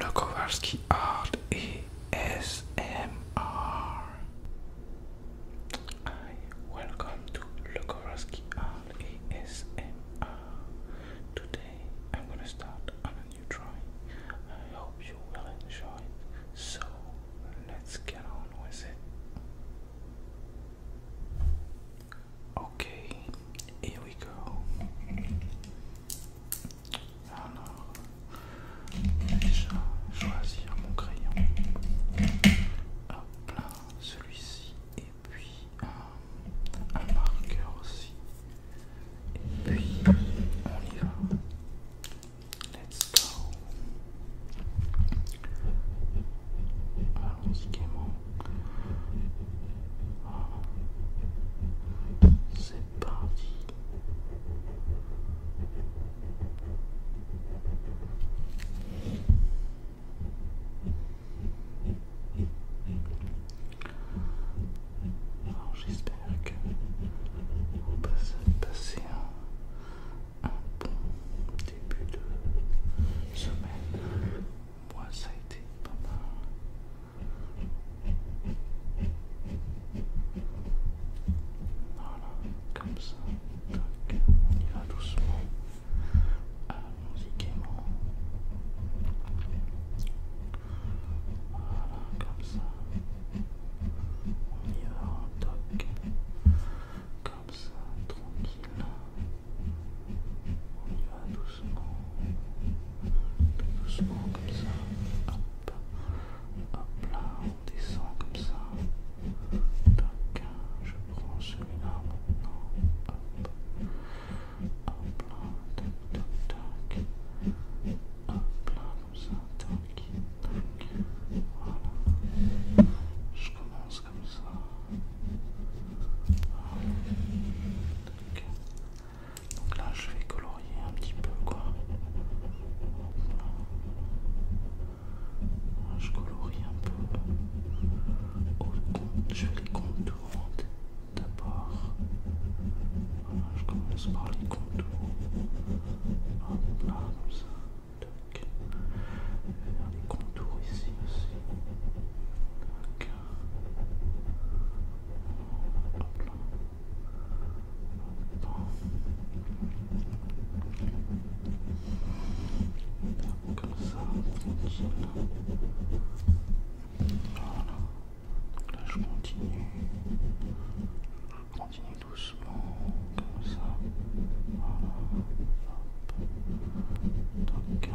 Lokowarski Art ASMR. welcome to Lokowarski Art ASMR. Today I'm gonna start on a new drawing. I hope you will enjoy it. So let's get on with it. Okay, here we go. Alors, déjà choisir mon crayon. Hop là, celui-ci. Et puis un, marqueur aussi. Et puis on y va. Let's go. Allons-y gaiement. Ah. C'est j'espère que vous passez un bon début de semaine. Moi ça a été pas mal. Voilà, comme ça. toc On y va doucement. allons Voilà, comme ça. On y va en toc. Comme ça, tranquille. On y va doucement doucement, comme ça, hop, hop là, on descend comme ça, tac, je prends celui-là maintenant, hop, hop là, tac, tac, hop là, comme ça, tac, tac, voilà, je commence comme ça, donc là, je vais colorier un petit peu, quoi. Je colorie un peu. Je fais les contours d'abord. Je commence par les contours. Hop là, comme ça. Je vais Faire les contours ici aussi. Comme ça, Voilà. Là, je continue. Je continue doucement, comme ça. Voilà. Donc.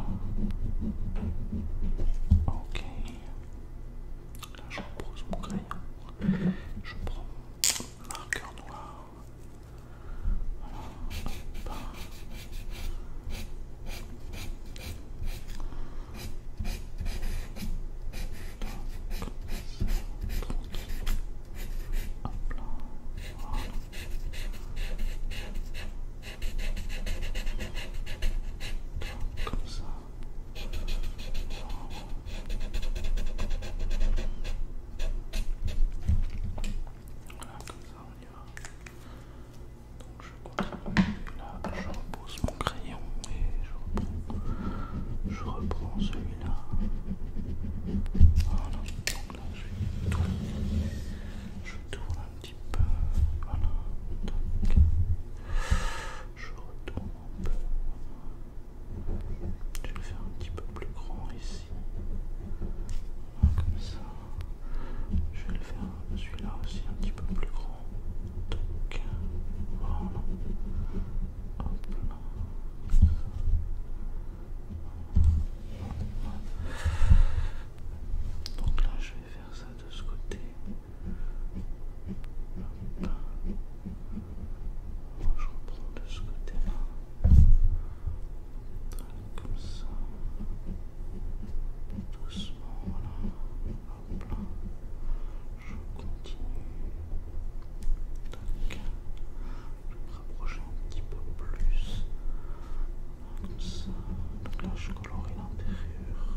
Ok je repose mon crayon. Je prends mon marqueur noir. Voilà. Comme ça, voilà, comme ça on y va. Donc je continue. là, je repose mon crayon et je reprends, celui-là. Voilà, donc là je tourne, je tourne un petit peu. Voilà, donc je retourne un peu. Je vais le faire un petit peu plus grand ici. Comme ça. Je vais le faire celui-là aussi un petit peu plus grand. Donc Donc là je vais faire ça de ce côté je reprends de ce côté-là. Comme ça. Doucement, voilà. Hop là. Je continue. je vais me rapprocher un petit peu plus. Comme ça. Donc là, je colorie l'intérieur.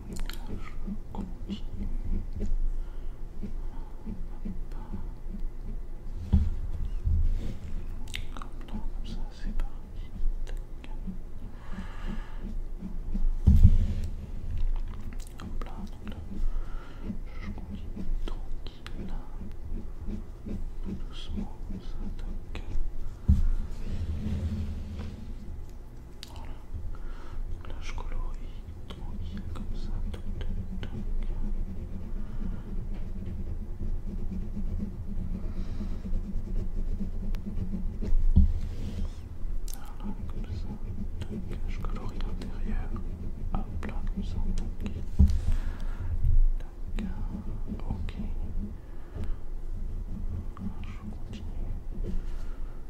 comme ça, c'est parti. Hop là, je conduis tranquille doucement, ça tac. Voilà. Donc là, je colorie tranquille comme ça. Toc, toc, toc. Voilà, comme ça. Donc, je colorie l'intérieur. Hop là, comme ça. Donc, ok. Je continue.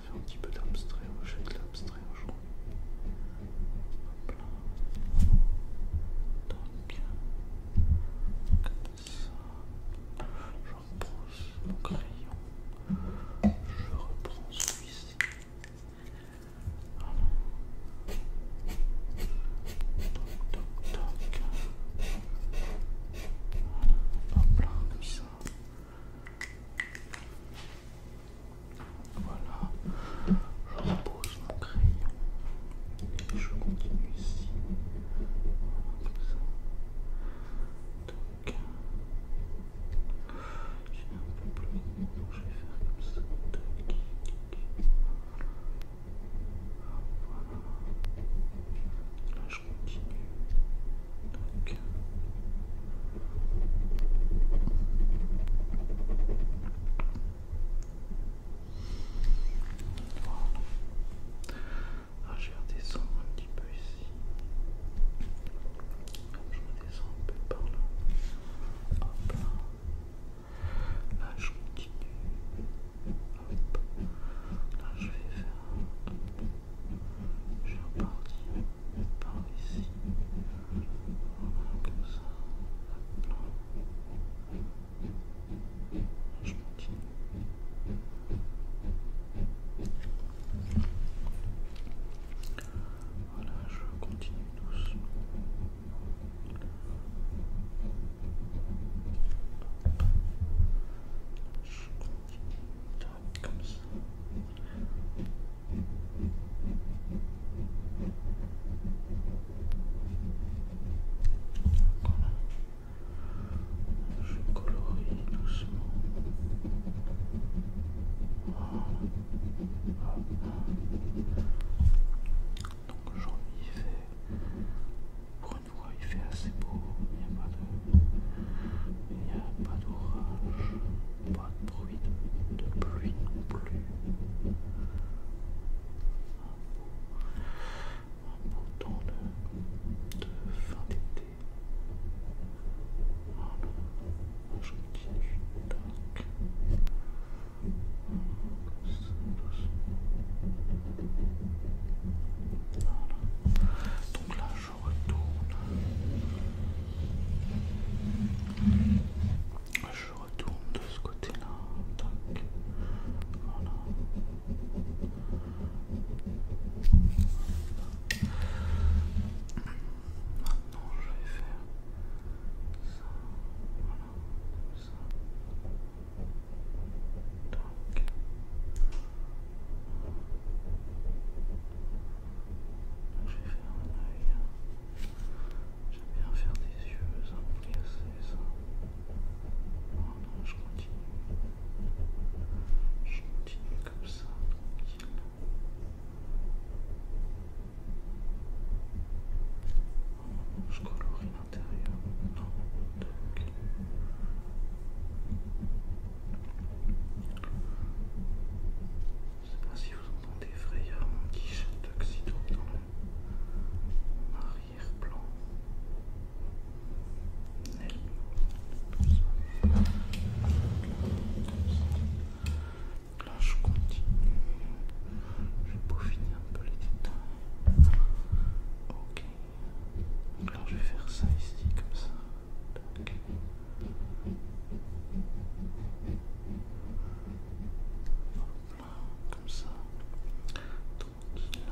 faire un petit peu d'abstrait, je de l'abstrait aujourd'hui. Hop là. comme ça, je reprends mon crayon, je reprends celui-ci. Voilà. Toc, toc, toc. Voilà. Hop là, comme ça. Voilà, je repose mon crayon et je continue ici. Comme ça. Donc, j'ai un peu plus donc je vais faire comme ça. voilà. Là, je continue. Ah, je vais redescendre un petit peu ici. Je redescends un peu par là. Hop là. je continue. Hop. Là, je vais faire. Je suis reparti par ici. comme ça. Je continue. Voilà, je continue doucement. Je continue comme ça. Voilà. Je colorie doucement. Ah, ah. Donc aujourd'hui il fait, pour une fois il fait assez beau, il n'y a pas de... Il n'y a pas d'orage, pas de bruit de pluie non plus. Un beau temps de, fin d'été. Voilà, je continue donc. Voilà. Donc là, je retourne. Je retourne de ce côté-là. Maintenant, je vais faire ça. Voilà. Ça. Donc. Je vais faire un œil. J'aime bien faire des yeux, ça me c'est ça. je continue. Je continue comme ça, tranquille. je colorie l'intérieur. Je sais pas si vous entendez effrayamment petit jette dans l'arrière-plan. Là je continue. Je peaufiner un peu les détails. Ok. là, je vais faire ça ici comme ça. Comme ça. Tranquille.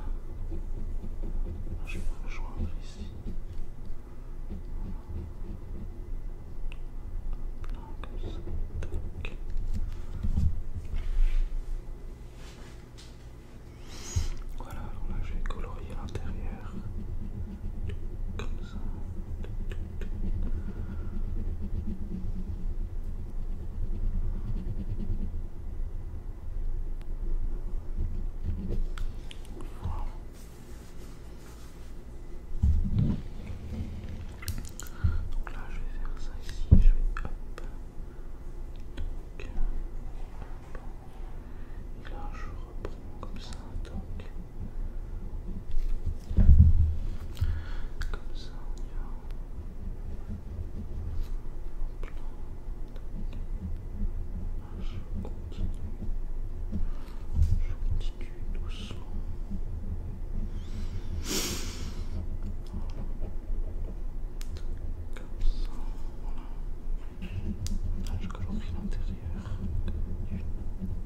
Je vais me rejoindre ici. Là, comme ça. Tac. Voilà, alors là je vais colorier l'intérieur. Comme ça. Donc là, je vais faire ça ici. Je vais hop. hop. Et là, je reprends comme ça, donc comme ça, on y va. Plan, je continue, je continue doucement. Comme ça, voilà. Là, je colorie l'intérieur.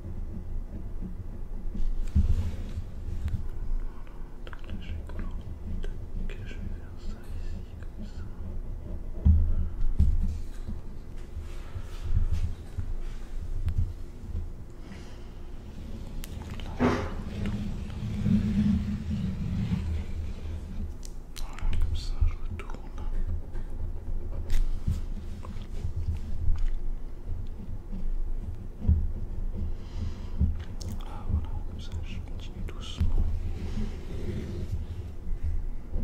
Là, je vais Tac, je vais faire ça ici comme ça. Là, voilà, comme ça, je retourne. Voilà, ah, voilà, comme ça je continue doucement. Je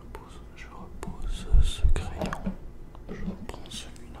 repose, je repose ce crayon. Je reprends celui-là.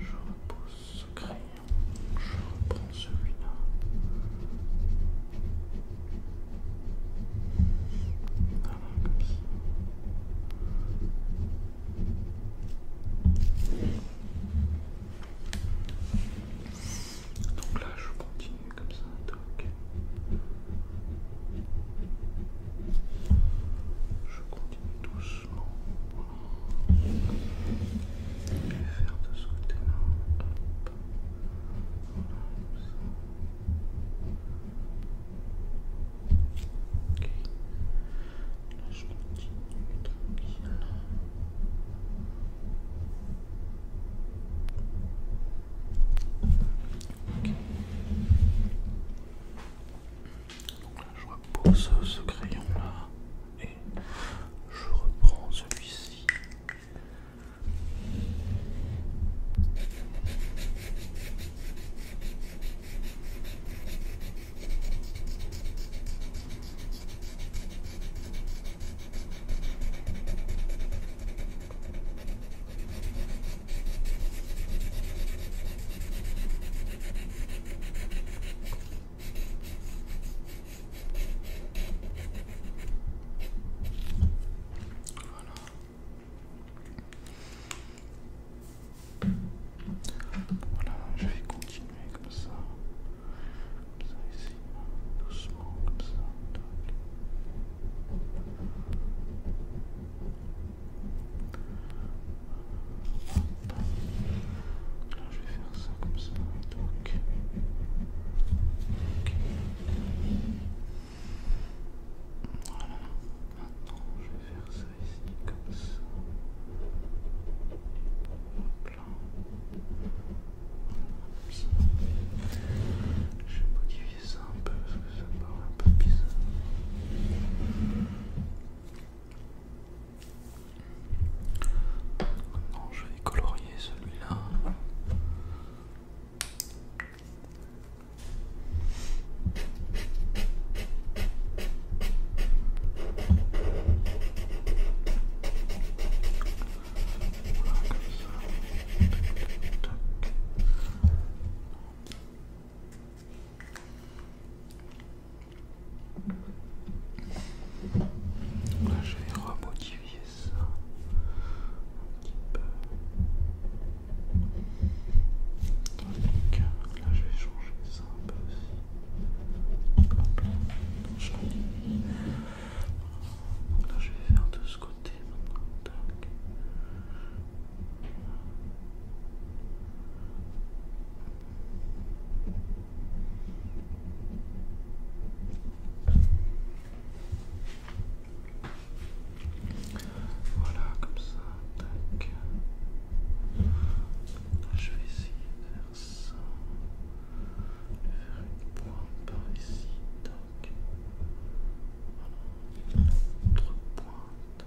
Je repousse ce crayon. Je reprends celui-là. Donc là, je continue comme ça, ok je continue doucement je vais faire de ce côté-là. ok, je continue tranquille. ok je repose ce crayon là et je reprends celui-ci. Voilà, je vais continuer comme ça. Comme ça ici, doucement, comme ça je vais faire ça comme ça. Donc. Voilà. Maintenant, je vais faire ça ici comme ça. Je vais modifier ça un peu ça parle un peu bizarre. Maintenant, je vais colorier celui-là. Voilà, comme ça. Là, je vais remotiver ça un petit peu. Donc, euh, là, je vais changer ça un peu aussi. là, Donc, là, je vais faire de ce côté maintenant. Voilà, comme ça, tac. Je vais essayer de faire ça. De faire une pointe par ici, tac. Voilà, une autre pointe.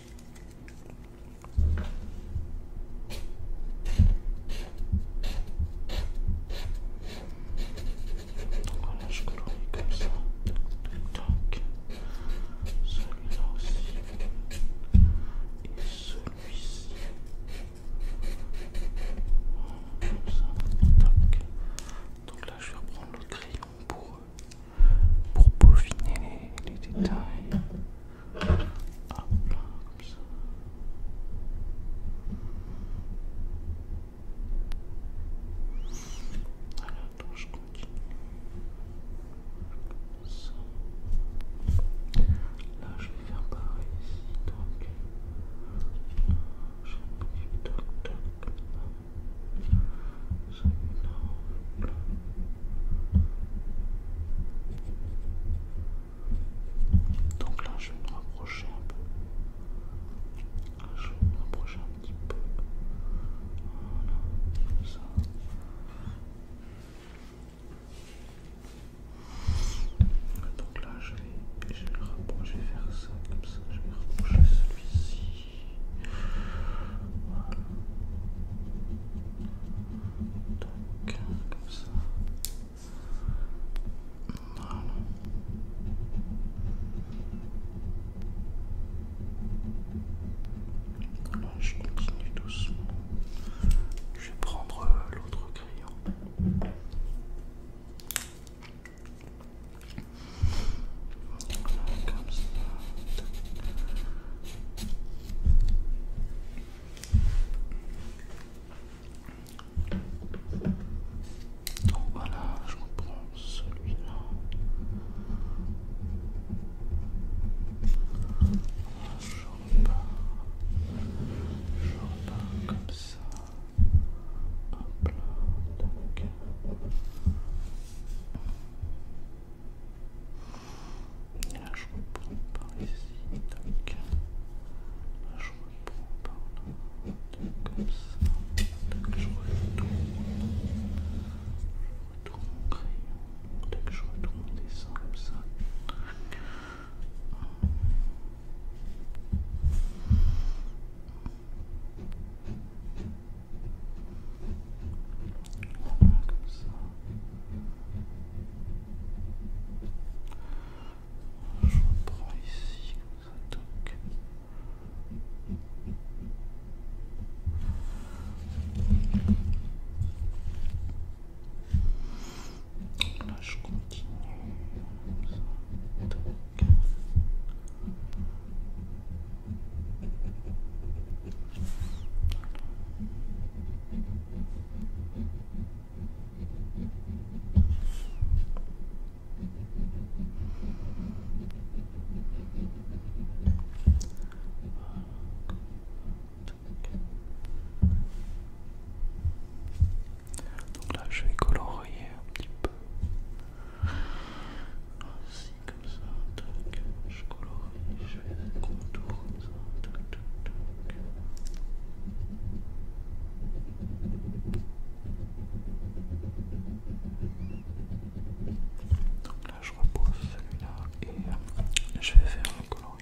Donc Voilà, je colorie comme ça. Donc, celui-là aussi. Et celui-ci. Comme ça. toc. Donc là, je vais reprendre le crayon pour, pour peaufiner les détails. Hop là, comme ça. Alors donc je continue. Comme ça. Là, je vais faire pareil ici. Donc, je vais toc, toc, là. Celui-là, là. Donc là, je vais me rapprocher un peu. je vais me rapprocher un petit peu. Voilà, comme ça. Donc là, je vais, je vais rapprocher, faire ça comme ça. Je vais rapprocher celui-ci je continue doucement. Je vais prendre l'autre crayon. Donc voilà, je reprends celui-là. Je repars. Je repars comme ça. Là, je reprends par ici, je reprends par là, comme ça. Tac, je retourne. Je retourne mon crayon. dès que je retourne mon dessin comme ça. Voilà, comme ça. Je reprends ici comme ça, je continue donc là, je vais colorier un petit peu. comme ça, je colorie, je un contour comme ça. tac. Donc là je repose celui-là et je vais faire le coloriage.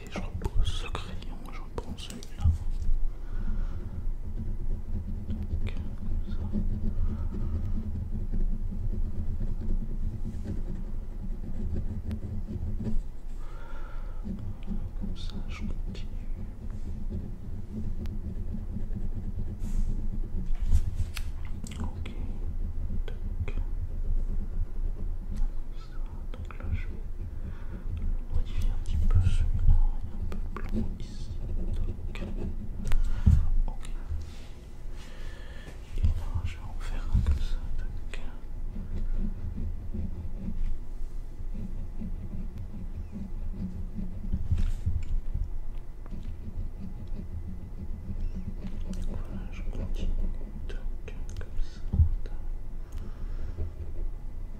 Ok, je repose ce crayon, je reprends celui-là. comme ça, je continue. Ok, Comme ça, donc là, je vais modifier un petit peu celui-là, un peu blanc ici. Donc, ok. Et là, je vais en faire un comme ça. Donc. Voilà, je continue donc comme ça.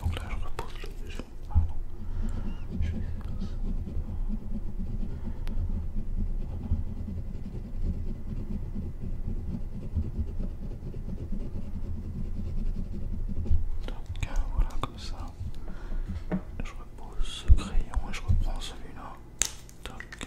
Donc là, je repose le je vais faire ça. Donc euh, voilà, comme ça. Je repose ce crayon et je reprends celui-là. Donc euh,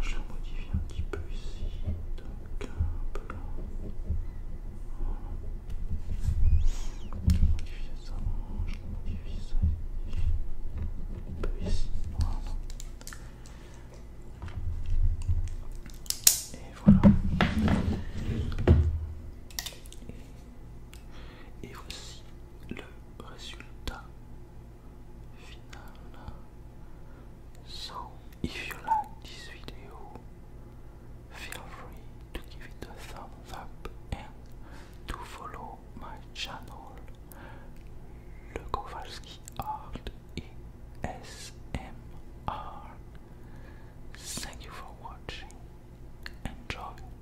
je la modifie un petit peu ici, donc un peu là. Je Je modifie ça, je modifie ça ici, un peu ici, voilà. Et voilà. Et voici le résultat final. So, if you like this video, feel free to give it a thumbs up and to follow my channel, Le Kowalski Art ASMR. Thank you for watching. Enjoy.